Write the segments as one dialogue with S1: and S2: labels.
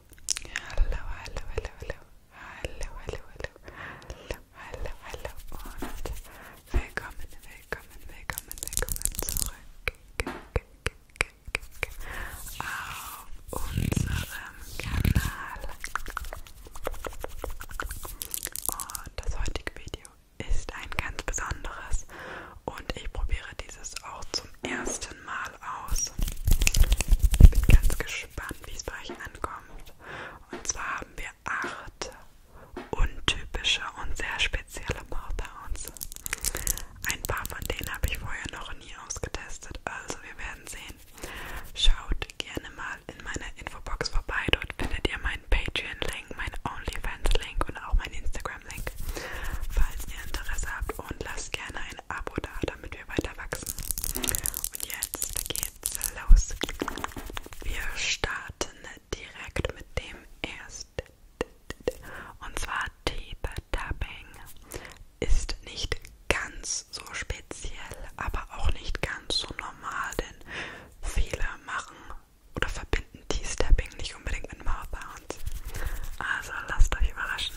S1: Hallo, hallo, hallo, hallo. Hallo, hallo, hallo. Hallo, hallo und willkommen, willkommen, willkommen, willkommen zurück auf unserem Kanal. Und das heutige Video ist ein ganz besonderes und ich probiere dieses auch zum ersten Mal mal aus. Ich bin ganz gespannt, wie es bei euch ankommt. Und zwar haben wir acht untypische und sehr spezielle Mouthhounds. Ein paar von denen habe ich vorher noch nie ausgetestet, also wir werden sehen. Schaut gerne mal in meiner Infobox vorbei, dort findet ihr meinen Patreon-Link, meinen OnlyFans-Link und auch meinen Instagram-Link, falls ihr Interesse habt und lasst gerne ein Abo da, damit wir weiter wachsen. Und jetzt geht's los. Wir starten direkt mit dem ersten. Und zwar Deep Tapping. Ist nicht ganz so speziell, aber auch nicht ganz so normal, denn viele machen oder verbinden T-Stepping nicht unbedingt mit Mouthbounds. Also lasst euch überraschen.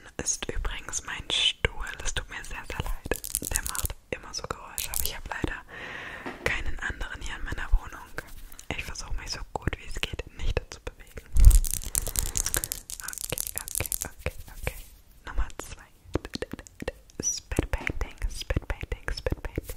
S1: ist übrigens mein Stuhl. Das tut mir sehr, sehr leid. Der macht immer so Geräusche, aber ich habe leider keinen anderen hier in meiner Wohnung. Ich versuche mich so gut wie es geht nicht zu bewegen. Okay, okay, okay, okay. Nummer 2. Spitbaiting, Spitbaiting, Spitbaiting.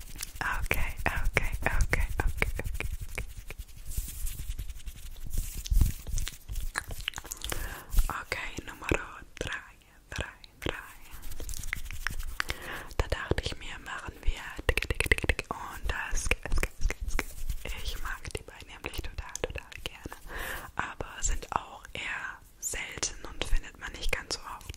S1: Okay, okay, okay, okay, okay. Okay, Nummer 3, 3, 3. Da dachte ich mir, machen wir dicke, dicke, dicke, dicke und das. Ich mag die beiden nämlich total, total gerne, aber sind auch eher selten und findet man nicht ganz so oft.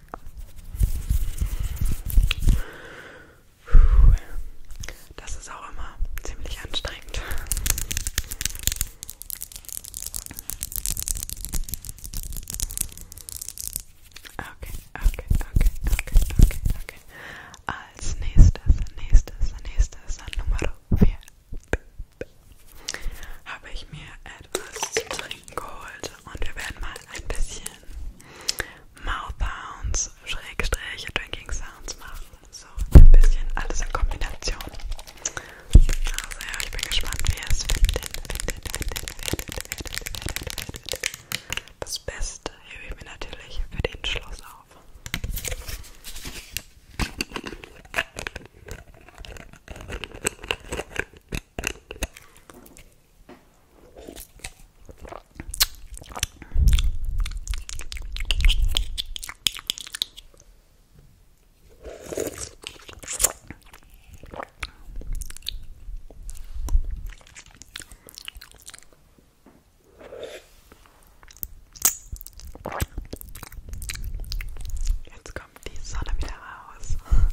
S1: Das ist auch immer ziemlich anstrengend. Okay, okay, okay, okay, okay, okay. Als nächstes, nächstes, nächstes, Nummer 4 habe ich mir etwas zu trinken Trinken geholt und wir werden mal ein bisschen Mouth Sounds, Schrägstrich, Drinking Sounds machen. So ein bisschen alles in Kombination. Also ja, ich bin gespannt, wie ihr es findet. Findet, findet, findet, findet, findet, findet. Das Beste hebe ich mir natürlich für den Schluss auf. Jetzt kommt die Sonne wieder raus.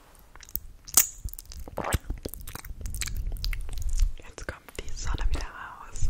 S1: Jetzt kommt die Sonne wieder raus.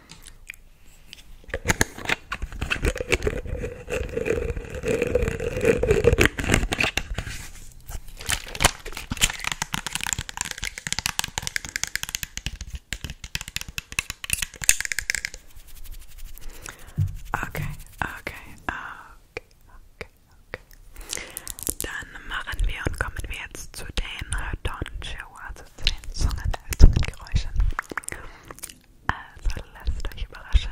S1: Okay, okay, okay, okay, okay. Dann machen wir und kommen wir jetzt zu den Don also zu den Zungengeräuschen. Also lasst euch überraschen.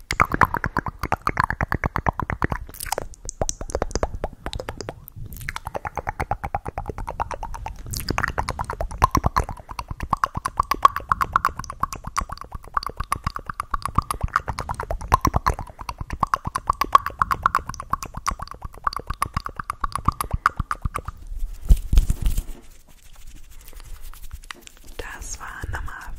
S1: Das war Nummer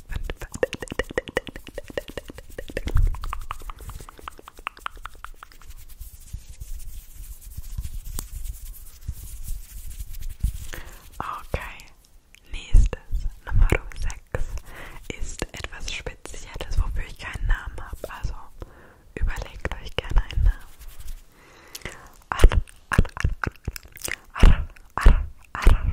S1: Okay, nächstes Nummer 6 ist etwas Spezielles, wofür ich keinen Namen habe. Also überlegt euch gerne einen Namen. Arr, arr, arr, arr, arr, arr, arr.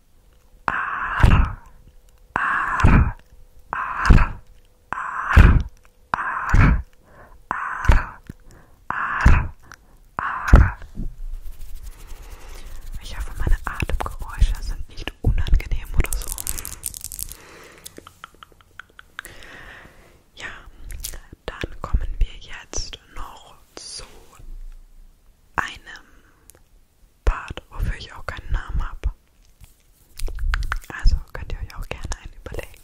S1: Ar, ar, ar, ar, ar, ar, ar, ar. Ich hoffe, meine Atemgeräusche sind nicht unangenehm oder so. Ja, dann kommen wir jetzt noch zu einem Part, wofür ich auch keinen Namen habe. Also könnt ihr euch auch gerne einen überlegen.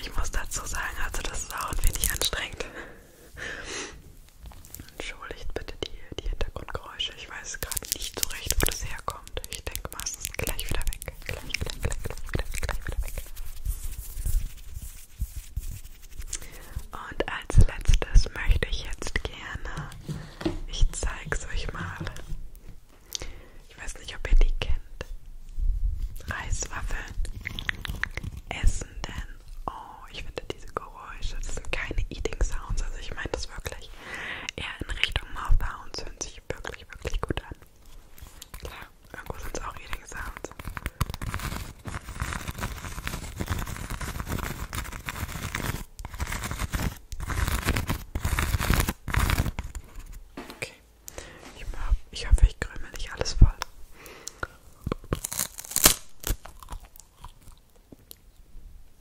S1: Ich muss dazu sagen, also das ist auch ein wenig anstrengend. Entschuldigt bitte die, die Hintergrundgeräusche. Ich weiß gerade nicht so recht, wo das herkommt kommt. Ich denke mal, es ist gleich wieder weg. Gleich, gleich, gleich, gleich, gleich, gleich wieder weg. Und als letztes möchte ich jetzt gerne, ich zeige es euch mal. Ich weiß nicht, ob ihr die kennt. Reiswaffeln. Essen denn. Oh, ich finde diese Geräusche, das sind keine Eating Sounds. Also ich meine das wirklich eher in Richtung Mouth Sounds hören sich wirklich, wirklich gut an. Klar, irgendwo sind es auch Eating Sounds. Okay, ich, hab, ich hoffe, ich krümel nicht alles voll.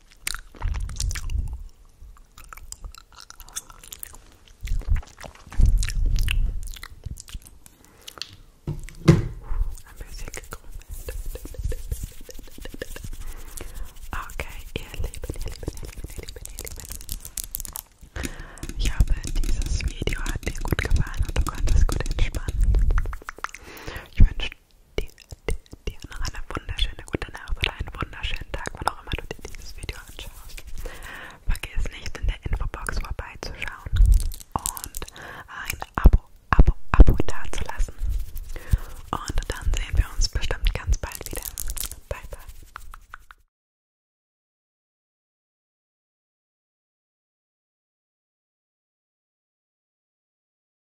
S1: Ein bisschen gekrümelt. Okay, ihr Lieben, ihr Lieben, ihr Lieben, ihr Lieben, ihr Lieben. Ich hoffe, dieses Video hat dir gut gefallen und du konntest gut entspannen. Ich wünsche dir, dir, dir noch eine wunderschöne gute Nacht oder einen wunderschönen Tag, wann auch immer du dir dieses Video anschaust. Vergiss nicht, in der Infobox vorbeizuschauen und ein Abo, Abo, Abo dazulassen. Und dann sehen wir uns bestimmt ganz bald wieder. Bye, bye.